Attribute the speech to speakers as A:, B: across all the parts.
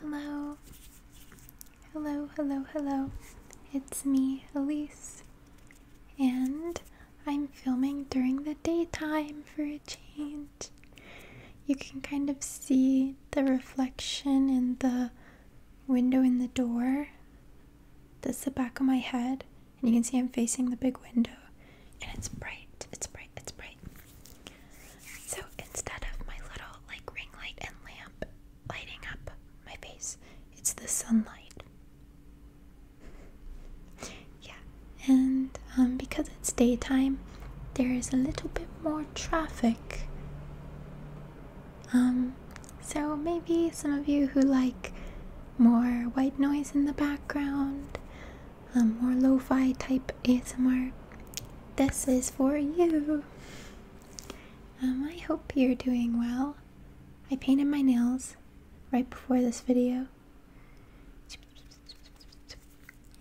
A: Hello, hello, hello, hello. It's me, Elise, and I'm filming during the daytime for a change. You can kind of see the reflection in the window in the door. That's the back of my head, and you can see I'm facing the big window, and it's bright. It's bright it's bright. So instead of my little like ring light and lamp lighting up my face, it's the sunlight. Yeah, and um, because it's daytime, there is a little bit more traffic. Um, so maybe some of you who like more white noise in the background a more lo-fi type ASMR, this is for you. Um, I hope you're doing well. I painted my nails right before this video.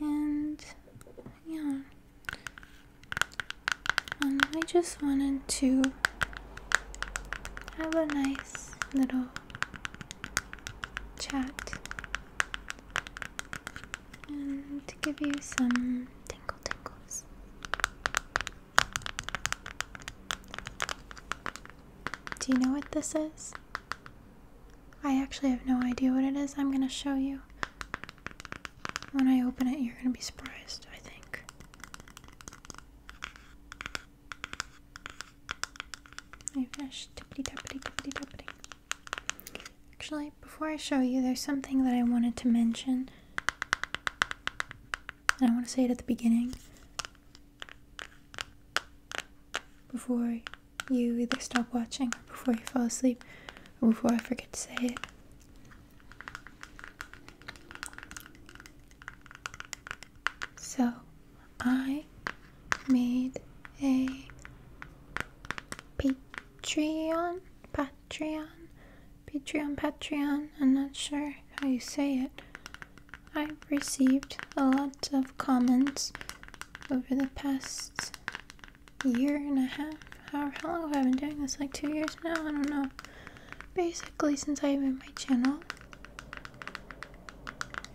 A: And yeah, um, I just wanted to have a nice little chat to give you some tingle tingles. Do you know what this is? I actually have no idea what it is. I'm gonna show you. When I open it, you're gonna be surprised, I think. I finished Actually, before I show you, there's something that I wanted to mention. And I want to say it at the beginning. Before you either stop watching, or before you fall asleep, or before I forget to say it. So, I made a Patreon, Patreon, Patreon, Patreon. I'm not sure how you say it. I've received a lot of comments over the past year and a half. How, long have I been doing this? Like two years now? I don't know. Basically, since I have made my channel,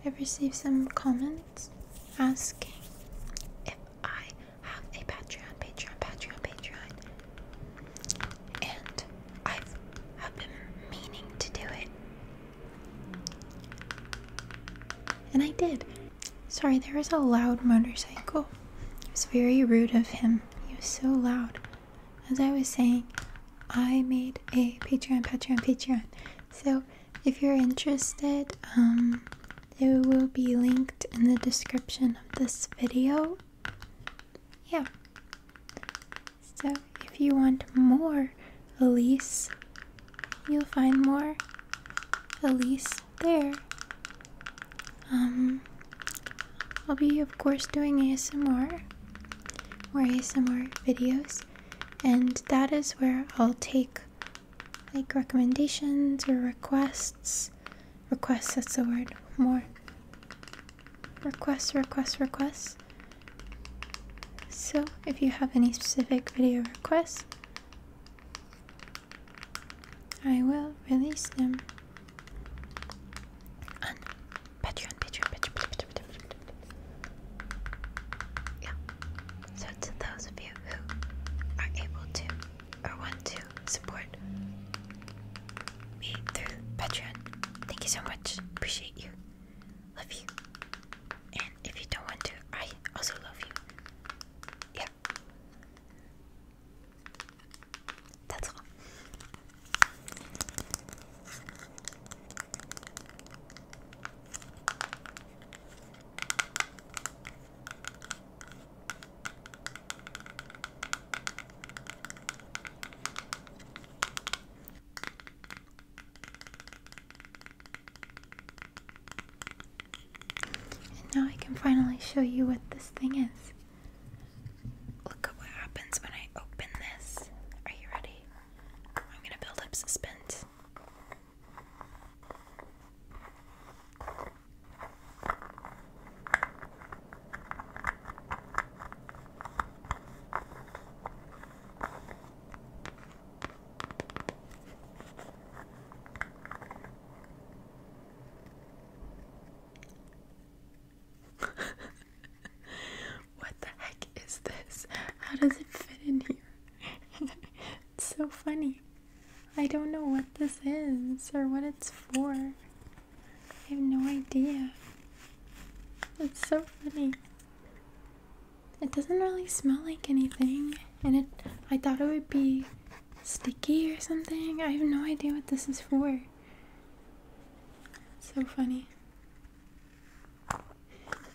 A: I've received some comments asking if I have a Patreon, Patreon, Patreon, Patreon. And i have been meaning to do it. And I did. Sorry, there was a loud motorcycle. It was very rude of him. He was so loud. As I was saying, I made a Patreon, Patreon, Patreon. So if you're interested, um, it will be linked in the description of this video. Yeah. So if you want more Elise, you'll find more Elise there. Um, I'll be, of course, doing ASMR or ASMR videos, and that is where I'll take like recommendations or requests. Requests, that's the word. More. Requests, requests, requests. So, if you have any specific video requests, I will release them on Patreon, Patreon, Patreon, Patreon, Patreon, Patreon. Yeah. So to those of you who are able to or want to support me through Patreon, thank you so much. Appreciate you. Love you. And if you don't want to, I also love you. Yeah. That's all. And now I can finally show you what this thing is. Look at what happens when I open this. Are you ready? I'm gonna build up suspense what the heck is this? How does it fit in here? It's so funny. I don't know what this is or what it's for. I have no idea. It's so funny. It doesn't really smell like anything, and it I thought it would be sticky or something. I have no idea what this is for. so funny.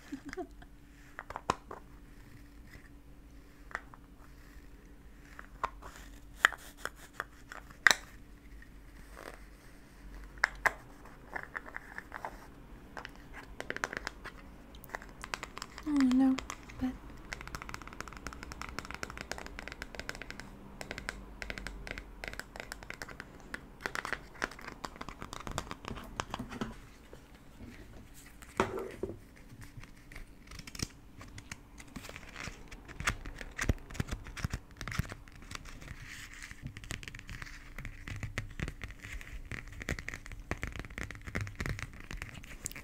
A: I oh, don't know, but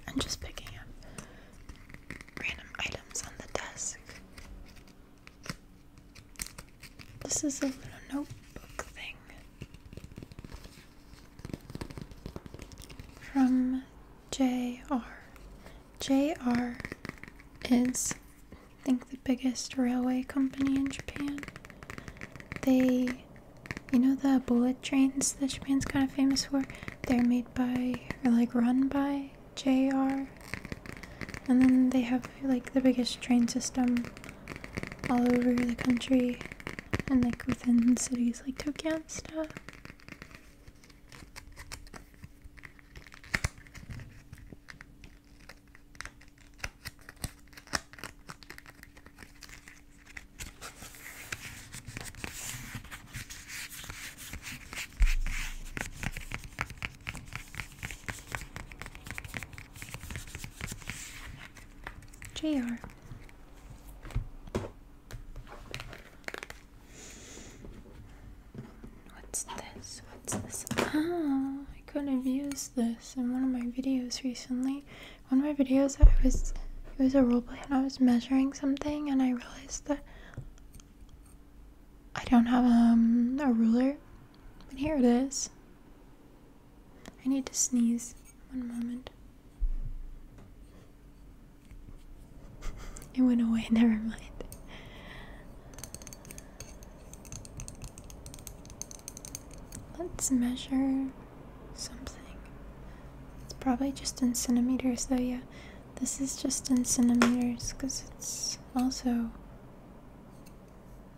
A: I'm just picking up random items on the desk. This is a little notebook thing. From JR. JR is, I think, the biggest railway company in Japan. They, you know, the bullet trains that Japan's kind of famous for? They're made by, or like run by JR. And then they have like the biggest train system all over the country and like within cities like Tokyo and stuff. JR. What's this? What's this? Ah, I could have used this in one of my videos recently. One of my videos, I was it was a roleplay and I was measuring something and I realized that I don't have um, a ruler. But here it is. I need to sneeze. One moment. It went away, never mind. Let's measure something. It's probably just in centimeters though, yeah. This is just in centimeters because it's also.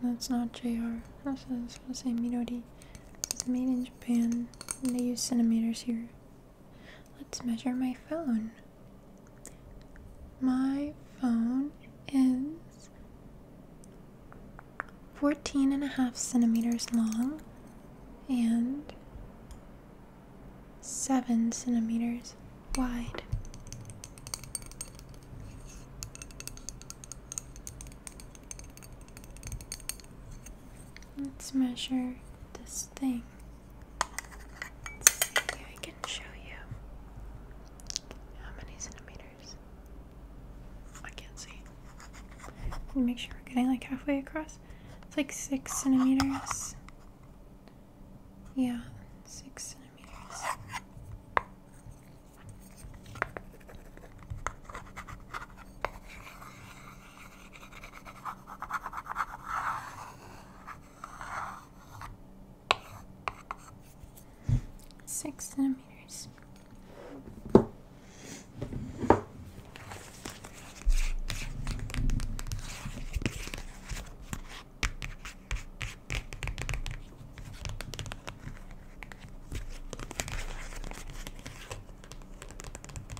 A: That's not JR. Also, I was supposed to say Midori. It's made in Japan, they use centimeters here. Let's measure my phone. My phone is 14 and a half centimeters long and 7 centimeters wide. Let's measure this thing. see, I can show you. How many centimeters? I can't see. Make sure we're getting like halfway across. It's like six centimeters. Yeah, six centimeters. Six centimeters.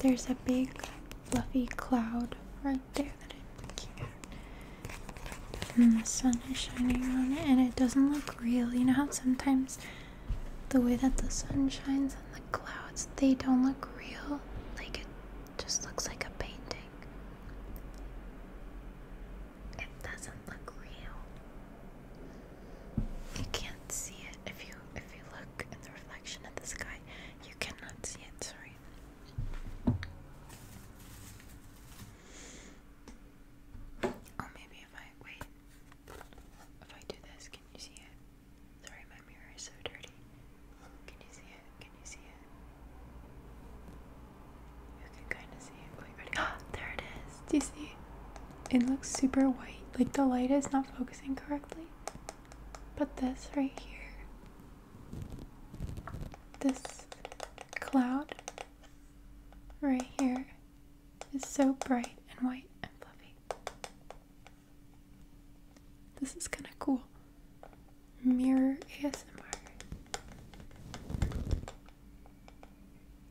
A: There's a big fluffy cloud right there that and hmm, the sun is shining on it, and it doesn't look real. You know how sometimes the way that the sun shines on the clouds, they don't look real. Like it just looks like a painting. It doesn't look real. You can't see it if you if you look in the reflection of the sky. You cannot see it. Sorry. Or oh, maybe if I wait, if I do this, can you see it? Sorry, my mirror is so dirty. Can you see it? Can you see it? You can kind of see it. Wait, ready? Ah, there it is. Do you see? It looks super white. Like the light is not focusing correctly. But this right here, this cloud right here is so bright and white and fluffy. This is kind of cool. Mirror ASMR.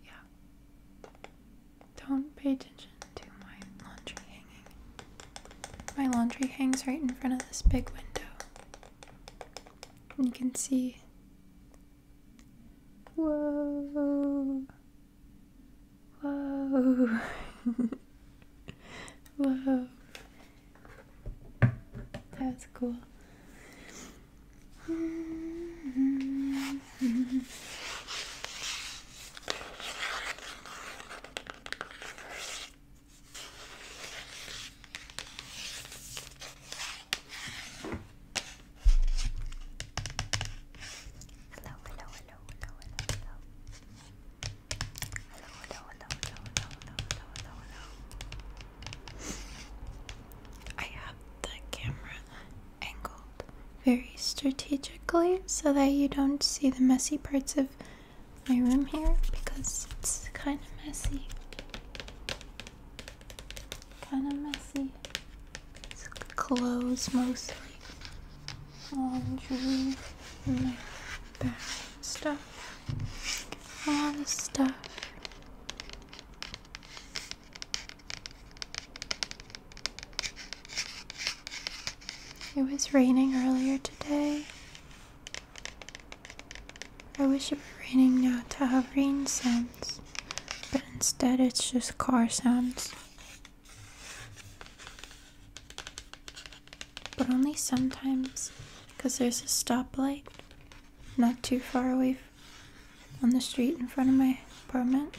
A: Yeah. Don't pay attention to my laundry hanging. My laundry hangs right in front of this big window you can see. Whoa. Whoa. Whoa. That's cool hello, hello, hello, hello, hello. Hello, hello, hello, hello, hello, hello, hello, hello, I have the camera angled very strategically so that you don't see the messy parts of my room here because it's kind of messy. Kind of messy. It's clothes mostly. Laundry. And stuff. All this stuff. It was raining earlier today. I wish it were raining now to have rain sounds, but instead it's just car sounds. But only sometimes, because there's a stoplight not too far away on the street in front of my apartment.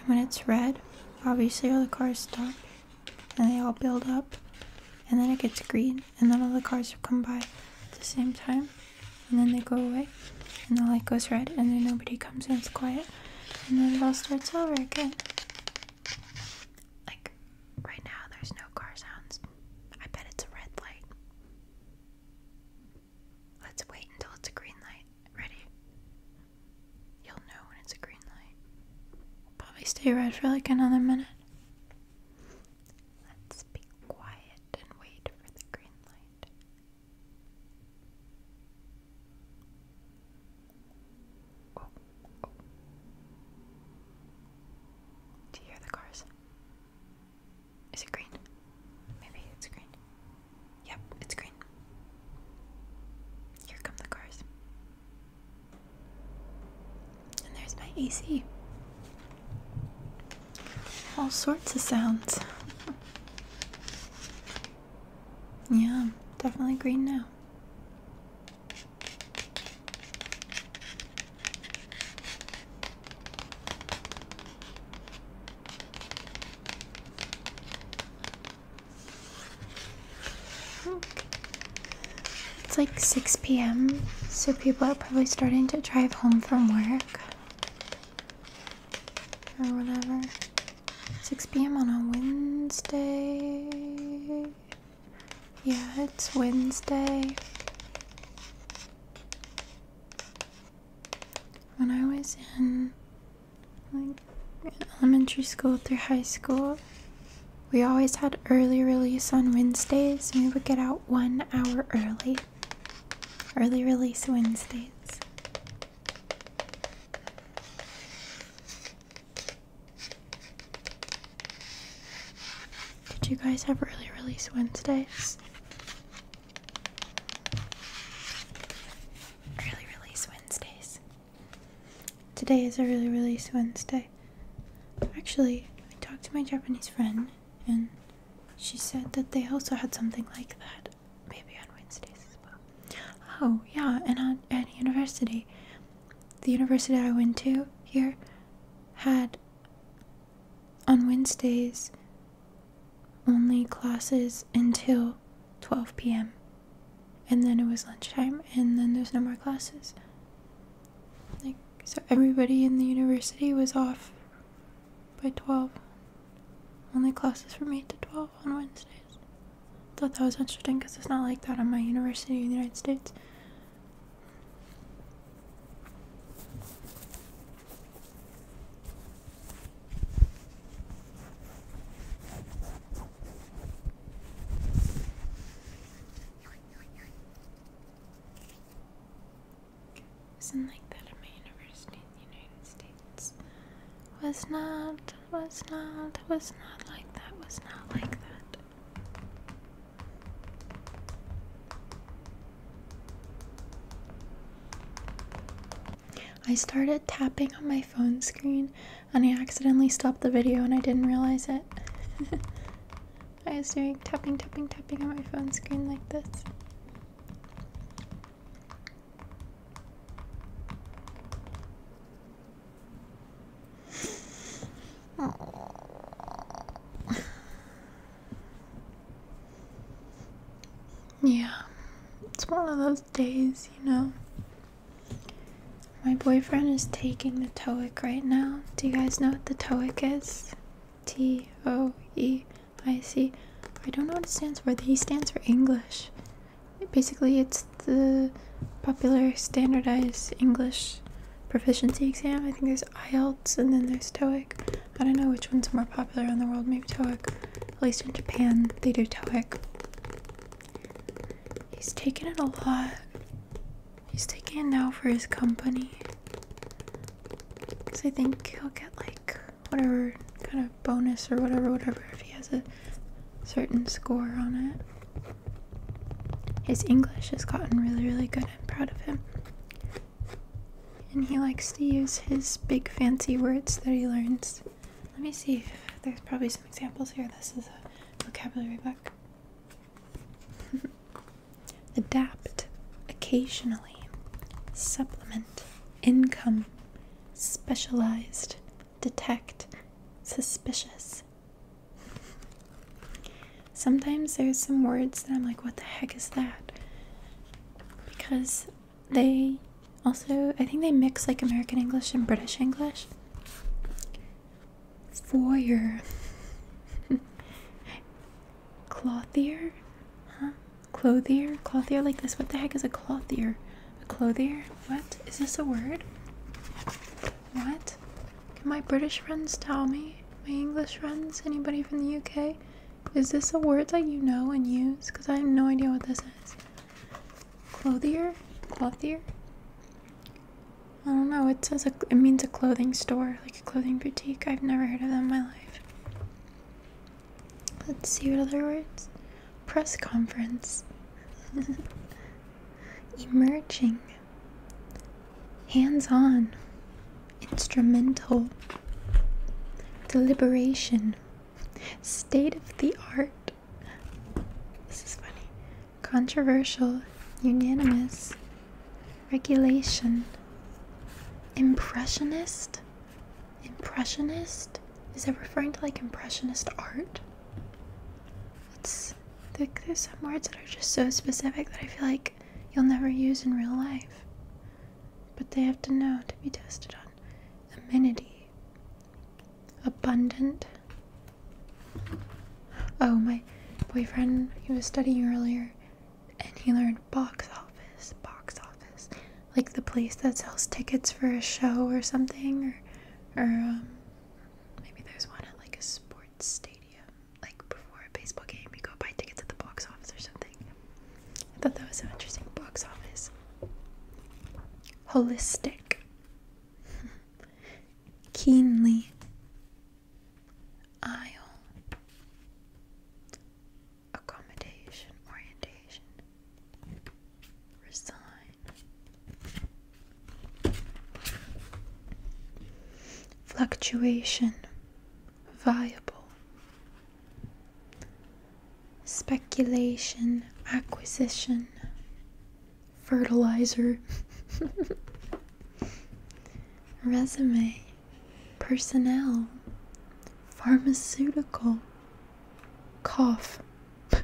A: And when it's red, obviously all the cars stop and they all build up, and then it gets green and then all the cars come by at the same time and then they go away and the light goes red and then nobody comes and it's quiet and then it all starts over again. Like right now there's no car sounds. I bet it's a red light. Let's wait until it's a green light. Ready? You'll know when it's a green light. Probably stay red for like another minute. Let's be quiet quiet and wait for the green light. Do you hear the cars? Is it green? Maybe it's green. Yep, it's green. Here come the cars. And there's my AC. All sorts of sounds. yeah, definitely green now. It's like 6 p.m., so people are probably starting to drive home from work or whatever. 6 p.m. on a Wednesday. Yeah, it's Wednesday. When I was in like elementary school through high school, we always had early release on Wednesdays and we would get out one hour early. Early release Wednesdays. Did you guys have early release Wednesdays? Early release Wednesdays. Today is a early release Wednesday. Actually, I talked to my Japanese friend and she said that they also had something like that, maybe on Wednesdays as well. Oh, yeah, and on, at university, the university I went to here had on Wednesdays only classes until 12 p.m. And then it was lunchtime, and then there's no more classes. Like, so everybody in the university was off by 12. Only classes from 8 to 12 on Wednesdays. Thought that was interesting because it's not like that on my university in the United States. Isn't like that at my university in the United States. Was not, was not, was not like that, was not like that. I started tapping on my phone screen and I accidentally stopped the video and I didn't realize it. I was doing tapping, tapping, tapping on my phone screen like this. yeah, it's one of those days, you know. My boyfriend is taking the TOEIC right now. Do you guys know what the TOEIC is? T O E I see. I don't know what it stands for. He stands for English. Basically, it's the popular standardized English proficiency exam. I think there's IELTS and then there's TOEIC. I don't know which one's more popular in the world. Maybe TOEIC. At least in Japan, they do TOEIC. He's taking it a lot. He's taking it now for his company. Because I think he'll get like whatever kind of bonus or whatever, whatever, if he has a certain score on it. His English has gotten really, really good. I'm proud of him. And he likes to use his big fancy words that he learns. Let me see there's probably some examples here. This is a vocabulary book. adapt occasionally, supplement, income, specialized, detect, suspicious. Sometimes there's some words that I'm like, what the heck is that? Because they also, I think they mix like American English and British English. Foyer. clothier? Huh? Clothier? Clothier like this? What the heck is a clothier? A clothier? What? Is this a word? What? Can my British friends tell me? My English friends? Anybody from the UK? Is this a word that you know and use? Because I have no idea what this is. Clothier? Clothier? I don't know. It says it means a clothing store, like a clothing boutique. I've never heard of that in my life. Let's see what other words. Press conference. Emerging. Hands on. Instrumental. Deliberation. State of the art. This is funny. Controversial. Unanimous. Regulation. Impressionist? Impressionist? Is it referring to like impressionist art? It's there's some words that are just so specific that I feel like you'll never use in real life. But they have to know to be tested on. Amenity. Abundant. Oh, my boyfriend, he was studying earlier and he learned box office, box office, like the place that sells tickets for a show or something, or um, maybe there's one at like a sports stadium, like before a baseball game, you go buy tickets at the box office or something. I thought that was so interesting. Box office, holistic, keenly, aisle accommodation, orientation, resign. Fluctuation, viable, speculation, acquisition, fertilizer, resume, personnel, pharmaceutical, cough,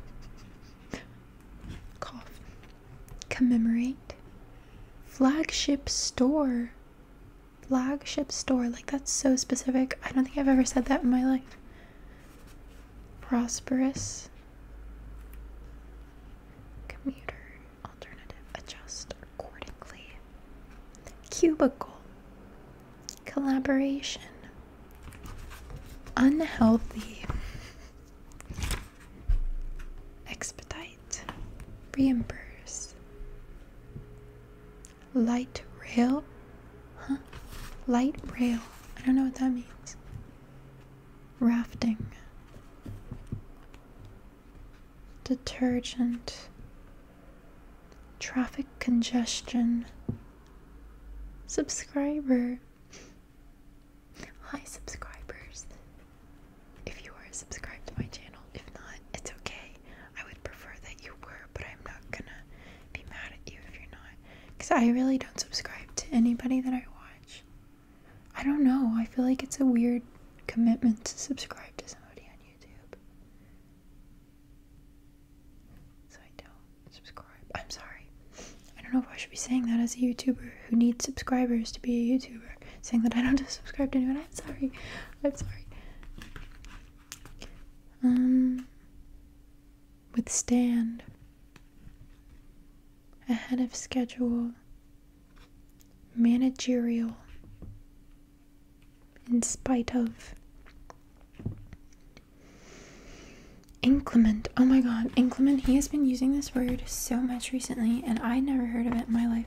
A: cough, commemorate, flagship store, flagship store. Like, that's so specific. I don't think I've ever said that in my life. Prosperous. Commuter alternative adjust accordingly. Cubicle. Collaboration. Unhealthy. Expedite. Reimburse. Light rail. Huh? Light rail. I don't know what that means. Rafting detergent, traffic congestion, subscriber. Hi, subscribers. If you are subscribed to my channel, if not, it's okay. I would prefer that you were, but I'm not gonna be mad at you if you're not. Because I really don't subscribe to anybody that I watch. I don't know. I feel like it's a weird commitment to subscribe to somebody on YouTube. So I don't subscribe. I'm sorry. I don't know if I should be saying that as a YouTuber who needs subscribers to be a YouTuber. Saying that I don't subscribe to anyone. I'm sorry. I'm sorry. Um, withstand. Ahead of schedule. Managerial in spite of inclement oh my god inclement he has been using this word so much recently and i never heard of it in my life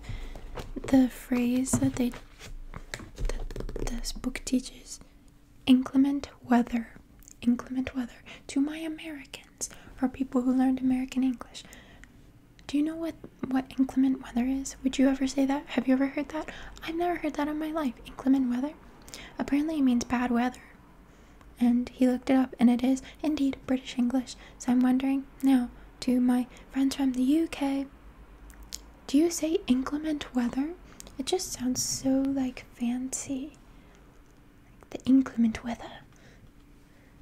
A: the phrase that they that this book teaches inclement weather inclement weather to my americans or people who learned american english do you know what what inclement weather is? Would you ever say that? Have you ever heard that? I've never heard that in my life. Inclement weather? Apparently it means bad weather. And he looked it up and it is indeed British English. So I'm wondering now to my friends from the UK, do you say inclement weather? It just sounds so like fancy. the inclement weather.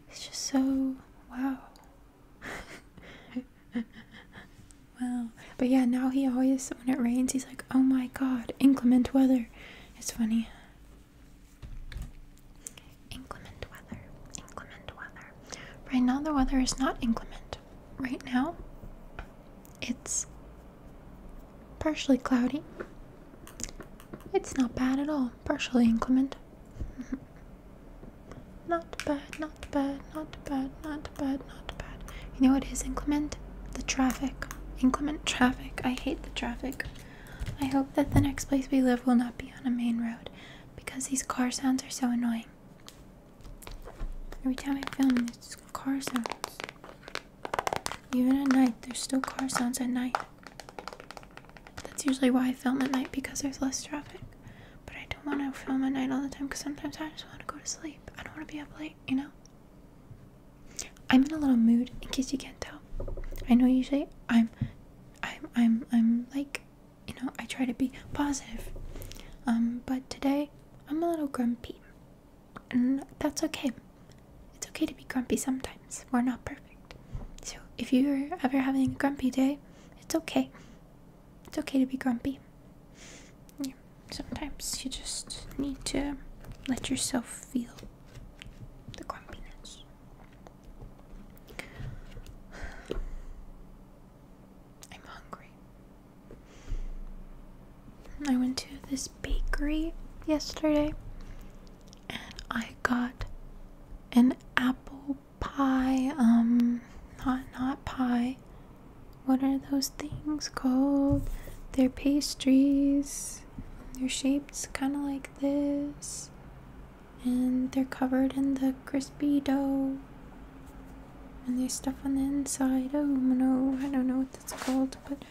A: It's just so wow. well, but yeah, now he always, when it rains, he's like, oh my god, inclement weather. It's funny. Inclement weather, inclement weather. Right now, the weather is not inclement. Right now, it's partially cloudy. It's not bad at all, partially inclement. Not bad, not bad, not bad, not bad, not bad. You know what is inclement? The traffic. Inclement traffic. I hate the traffic. I hope that the next place we live will not be on a main road because these car sounds are so annoying. Every time I film, it's car sounds. Even at night, there's still car sounds at night. That's usually why I film at night because there's less traffic. But I don't want to film at night all the time because sometimes I just want to go to sleep. I don't want to be up late, you know? I'm in a little mood in case you can't tell. I know usually I'm I'm I'm I'm like, you know, I try to be positive. Um, but today I'm a little grumpy. And that's okay. It's okay to be grumpy sometimes. We're not perfect. So if you're ever having a grumpy day, it's okay it's okay to be grumpy. sometimes you just need to let yourself feel the grumpiness. I'm hungry. I went to this bakery yesterday and I got an apple pie, um, not, not pie. What are those things called? They're pastries. They're shaped kind of like this. And they're covered in the crispy dough. And there's stuff on the inside. Oh no, I don't know what that's called, but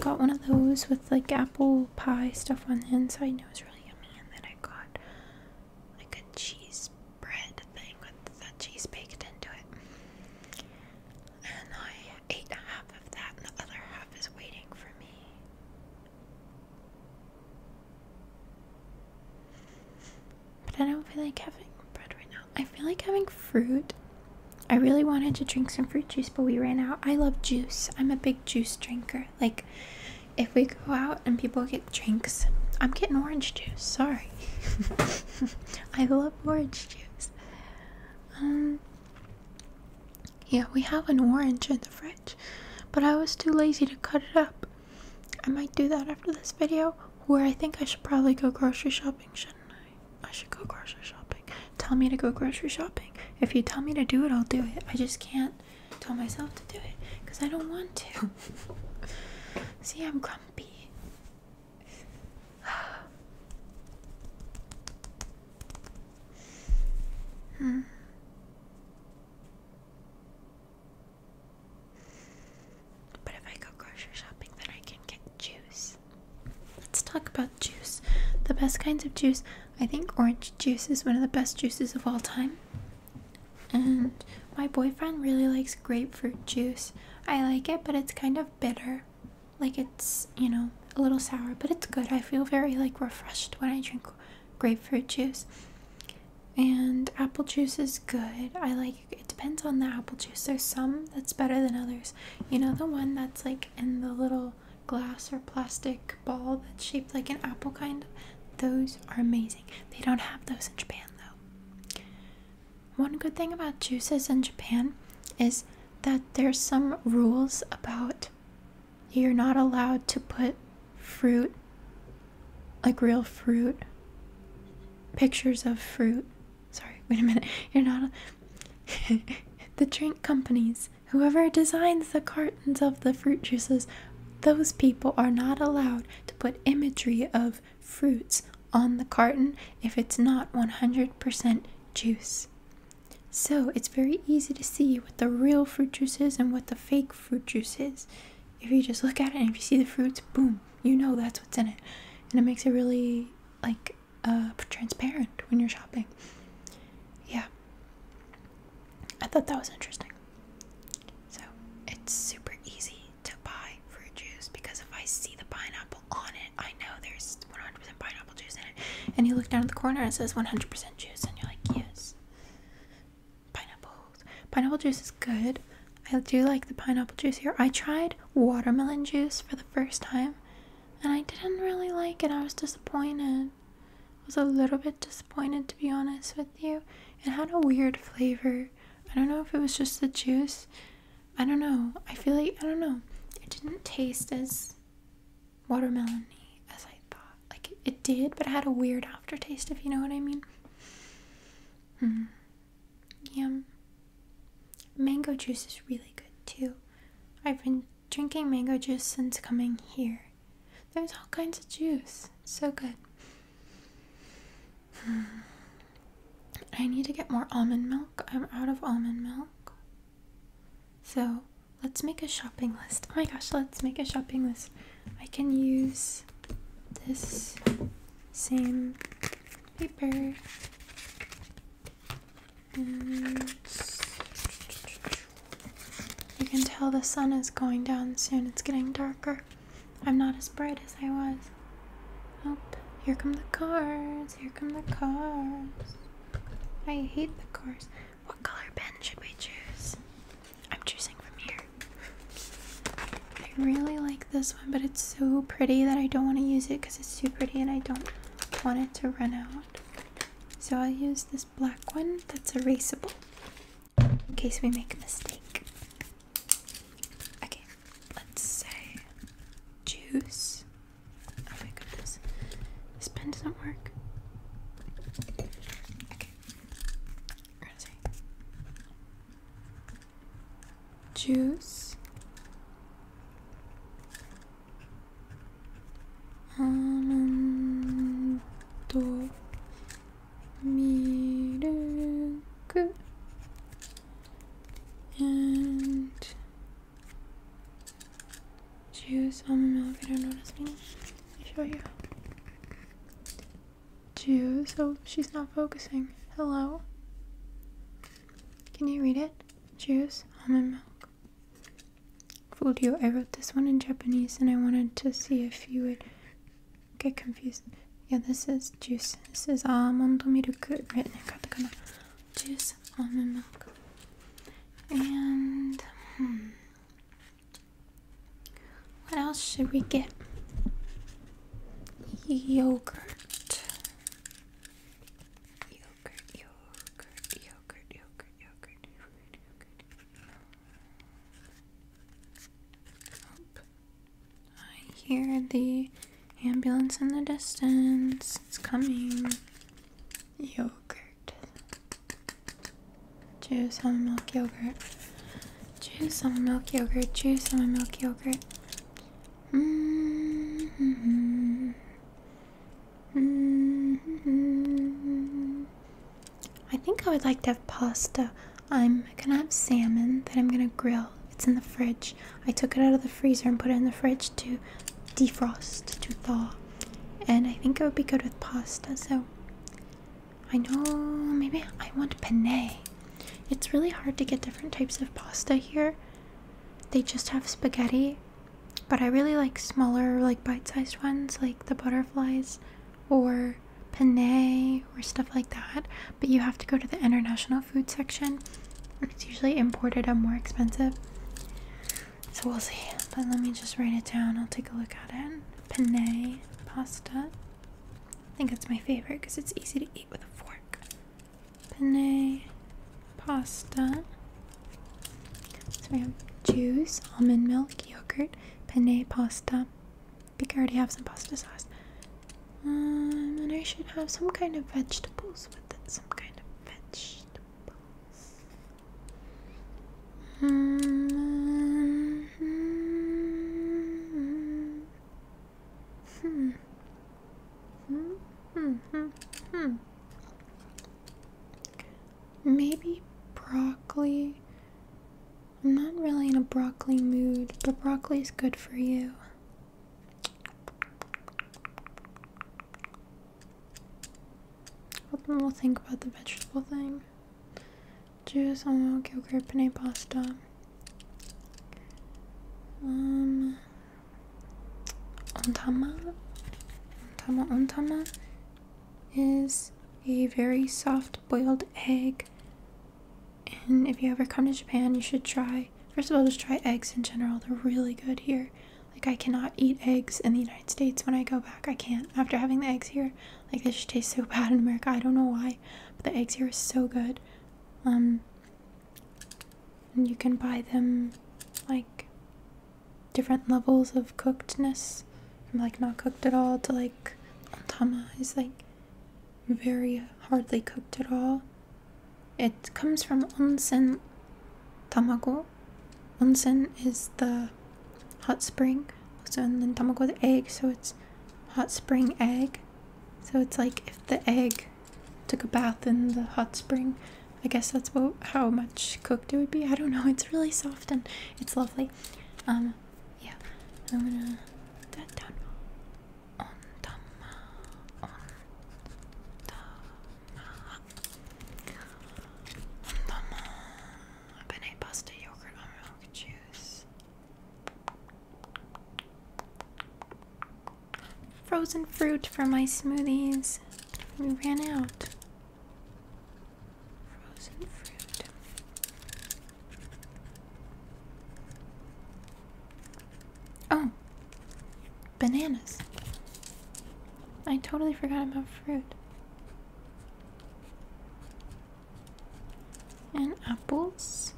A: got one of those with like apple pie stuff on the inside it was really yummy and then I got like a cheese bread thing with the cheese baked into it. And I ate half of that, and the other half is waiting for me. But I don't feel like having bread right now. I feel like having fruit. I really wanted to drink some fruit juice, but we ran out. I love juice. I'm a big juice drinker. Like, if we go out and people get drinks. I'm getting orange juice, sorry. I love orange juice. Um yeah, we have an orange in the fridge, but I was too lazy to cut it up. I might do that after this video, where I think I should probably go grocery shopping, shouldn't I? I should go grocery shopping. Tell me to go grocery shopping. If you tell me to do it, I'll do it. I just can't tell myself to do it because I don't want to. See, I'm grumpy grumpy. hmm. But if I go grocery shopping, then I can get juice. Let's talk about juice. The best kinds of juice. I think orange juice is one of the best juices of all time. And my boyfriend really likes grapefruit juice. I like it, but it's kind of bitter. Like it's, you know, a little sour, but it's good. I feel very like refreshed when I drink grapefruit juice. And apple juice is good. I like it depends on the apple juice. There's some that's better than others. You know the one that's like in the little glass or plastic ball that's shaped like an apple kind? Those are amazing. They don't have those in Japan though. One good thing about juices in Japan is that there's some rules about you're not allowed to put fruit, like real fruit, pictures of fruit. Sorry, wait a minute. You're not. the drink companies, whoever designs the cartons of the fruit juices, those people are not allowed to put imagery of fruits on the carton if it's not 100% juice. So it's very easy to see what the real fruit juice is and what the fake fruit juice is. If you just look at it and if you see the fruits, boom, you know that's what's in it. And it makes it really like uh, transparent when you're shopping. Yeah. I thought that was interesting. So it's super easy to buy fruit juice because if I see the pineapple on it, I know there's 100% pineapple juice in it. And you look down at the corner and it says 100% juice, and you're like, yes. Pineapples. Pineapple juice is good. I do like the pineapple juice here. I tried watermelon juice for the first time and I didn't really like it. I was disappointed. was a little bit disappointed to be honest with you. It had a weird flavor. I don't know if it was just the juice. I don't know. I feel like, I don't know. It didn't taste as watermelon y as I thought. Like it, did, but it had a weird aftertaste, if you know what I mean. Hmm. Yum. Mango juice is really good too. I've been drinking mango juice since coming here. There's all kinds of juice. so good. I need to get more almond milk. I'm out of almond milk. So let's make a shopping list. Oh my gosh, let's make a shopping list. I can use this same paper. you can tell the sun is going down soon. It's getting darker. I'm not as bright as I was. Oh, here come the cards. Here come the cards. I hate the cards. What color pen should we choose? I'm choosing from here. I really like this one, but it's so pretty that I don't want to use it because it's too pretty and I don't want it to run out. So I'll use this black one that's erasable in case we make a mistake. Okay, let's say juice. Oh my goodness, this pen doesn't work. Okay, we're say juice. Anandomiruku and juice almond milk. I don't know what this means. Let me show you. Juice. Oh, she's not focusing. Hello. Can you read it? Juice almond milk. Fooled you. I wrote this one in Japanese, and I wanted to see if you would get confused. Yeah, this is juice. This is almond milk written in katakana. Juice, almond milk. And hmm. What else should we get? Yogurt. Yogurt, yogurt, yogurt, yogurt, yogurt, yogurt, I hear the ambulance in the distance. It's coming. Yogurt. Choose some milk yogurt. Choose some milk yogurt. Choose some milk yogurt. Mm hmm mm hmm I think I would like to have pasta. I'm gonna have salmon that I'm gonna grill. It's in the fridge. I took it out of the freezer and put it in the fridge to defrost, to thaw. And I think it would be good with pasta, so I know maybe I want penne. It's really hard to get different types of pasta here. They just have spaghetti, but I really like smaller, like bite-sized ones, like the butterflies or penne or stuff like that. But you have to go to the International food section. It's usually imported and more expensive. So we'll see. But let me just write it down. I'll take a look at it. Penne pasta. I think it's my favorite because it's easy to eat with a fork. Penne pasta. So we have juice, almond milk, yogurt, penne pasta, I already have some pasta sauce. Um, and I should have some kind of vegetables with it. Some kind of vegetables. hmm. Hmm. Hmm. Hmm. Hmm. hmm. Maybe broccoli. I'm not really in a broccoli mood, but broccoli is good for you. What do we'll think about the vegetable thing. Juice, oil, yogurt, penne pasta. Um, ontama, ontama, ontama is a very soft boiled egg and if you ever come to Japan, you should try, first of all, just try eggs in general. They're really good here. Like, I cannot eat eggs in the United States when I go back. I can't. After having the eggs here, like, they just taste so bad in America. I don't know why, but the eggs here are so good. Um, and you can buy them, like, different levels of cookedness. From, like, not cooked at all to, like, ontama is, like, very hardly cooked at all. It comes from onsen tamago. Onsen is the hot spring. So and then tamago the egg, so it's hot spring egg. So it's like if the egg took a bath in the hot spring. I guess that's what how much cooked it would be. I don't know. It's really soft and it's lovely. Um, yeah. I'm gonna put down. Ondama, ondama, ondama. Penne pasta, yogurt, almond milk, juice. Frozen fruit for my smoothies. We ran out. Frozen fruit. Oh, bananas. I totally forgot about fruit. And apples.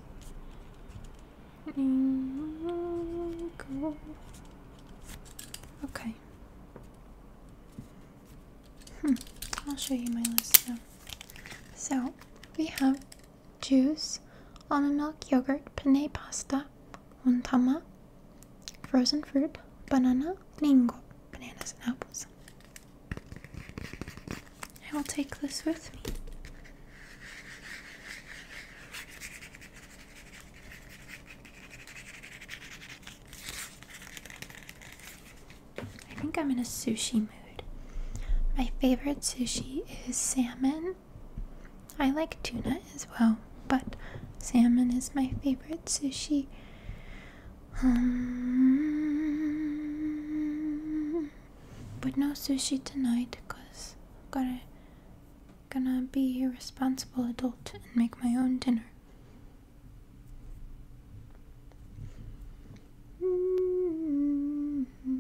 A: Okay. Hmm. I'll show you my list now. So we have juice, almond milk, yogurt, penne pasta, untama, frozen fruit, banana, mango, bananas and apples. I will take this with me. I think I'm in a sushi mood. My favorite sushi is salmon I like tuna as well, but salmon is my favorite sushi. Um, but no sushi tonight because i am gotta gonna be a responsible adult and make my own dinner. I'm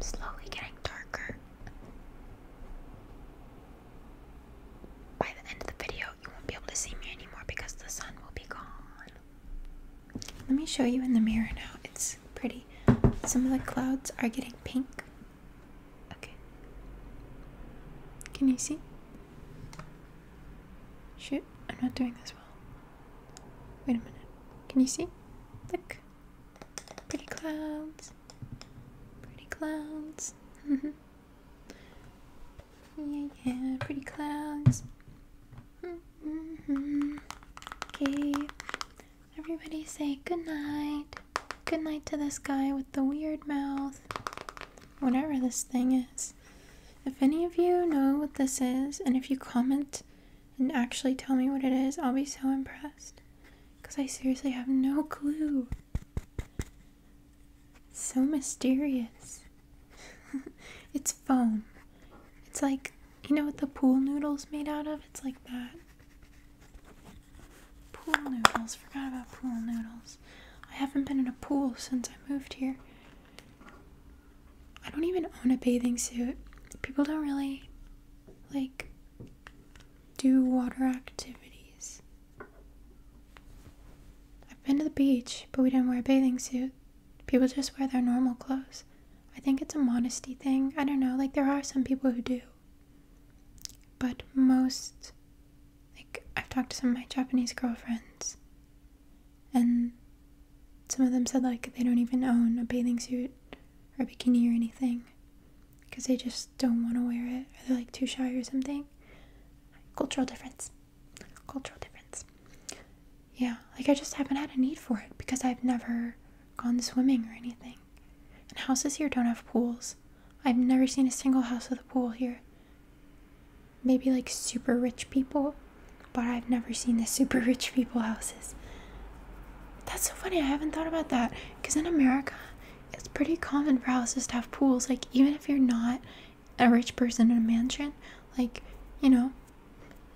A: slowly getting darker. By the end of the video, you won't be able to see me anymore because the sun will be gone. Let me show you in the mirror now. It's pretty. Some of the clouds are getting pink. Okay. Can you see? Shoot, I'm not doing this well. Wait a minute. Can you see? Look. Pretty clouds. Pretty clouds. yeah, yeah, pretty clouds. okay. Everybody say good night. Good night to this guy with the weird mouth. Whatever this thing is. If any of you know what this is, and if you comment and actually tell me what it is, I'll be so impressed. Because I seriously have no clue. It's so mysterious. it's foam. It's like, you know what the pool noodle's made out of? It's like that. Pool noodles. Forgot about pool noodles. I haven't been in a pool since I moved here. I don't even own a bathing suit. People don't really like do water activities. I've been to the beach, but we didn't wear a bathing suit. People just wear their normal clothes. I think it's a modesty thing. I don't know, like there are some people who do. But most like, I've talked to some of my Japanese girlfriends, and some of them said, like, they don't even own a bathing suit or a bikini or anything because they just don't want to wear it or they're, like, too shy or something. Cultural difference. Cultural difference. Yeah, like, I just haven't had a need for it because I've never gone swimming or anything. And houses here don't have pools. I've never seen a single house with a pool here maybe like super rich people, but I've never seen the super rich people houses. That's so funny. I haven't thought about that because in America, it's pretty common for houses to have pools. Like, even if you're not a rich person in a mansion, like, you know,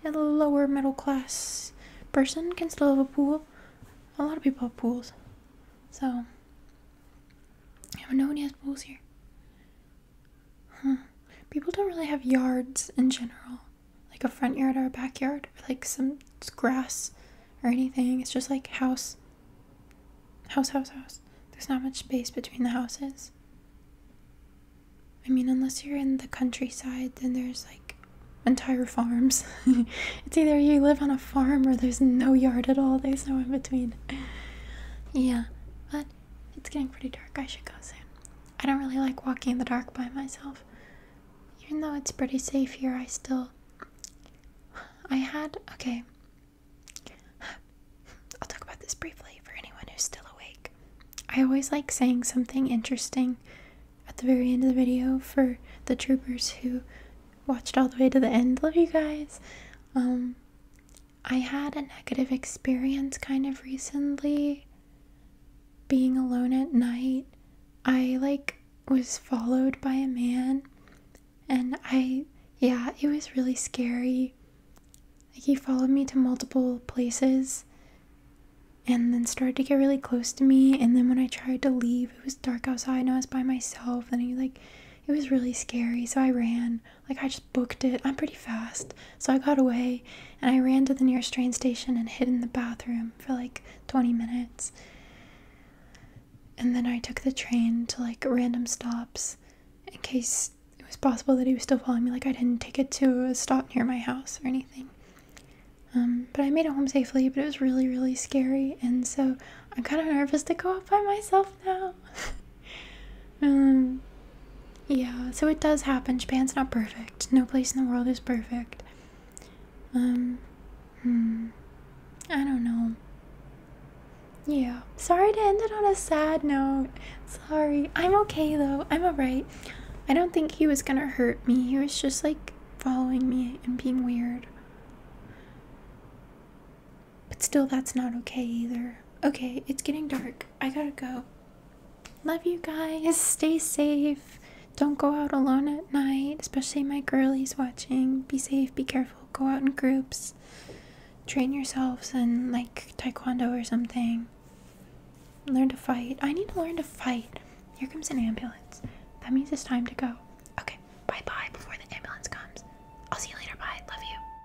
A: a lower middle class person can still have a pool. A lot of people have pools. So, yeah, no has pools here. People don't really have yards in general, like a front yard or a backyard, or like some grass or anything. It's just like house, house, house, house. There's not much space between the houses. I mean, unless you're in the countryside, then there's like entire farms. it's either you live on a farm or there's no yard at all, there's no in between. Yeah, but it's getting pretty dark. I should go soon. I don't really like walking in the dark by myself. Even though it's pretty safe here, I still. I had. Okay. I'll talk about this briefly for anyone who's still awake. I always like saying something interesting at the very end of the video for the troopers who watched all the way to the end. Love you guys. Um, I had a negative experience kind of recently being alone at night. I like was followed by a man and I yeah, it was really scary. Like he followed me to multiple places and then started to get really close to me and then when I tried to leave, it was dark outside and I was by myself and he like it was really scary, so I ran. Like, I just booked it. I'm pretty fast. So I got away and I ran to the nearest train station and hid in the bathroom for like 20 minutes. And then I took the train to like random stops in case it was possible that he was still following me. Like, I didn't take it to a stop near my house or anything. Um, but I made it home safely, but it was really, really scary. And so I'm kind of nervous to go out by myself now. Um, yeah, so it does happen. Japan's not perfect. No place in the world is perfect. Um, hmm. I don't know. Yeah. Sorry to end it on a sad note. Sorry. I'm okay though. I'm alright. I don't think he was gonna hurt me. He was just like following me and being weird. But still, that's not okay either. Okay, it's getting dark. I gotta go. Love you guys. Stay safe. Don't go out alone at night, especially my girlies watching. Be safe, be careful. Go out in groups. Train yourselves and like taekwondo or something. Learn to fight. I need to learn to fight. Here comes an ambulance. That means it's time to go. Okay, bye bye before the ambulance comes. I'll see you later. Bye. Love you.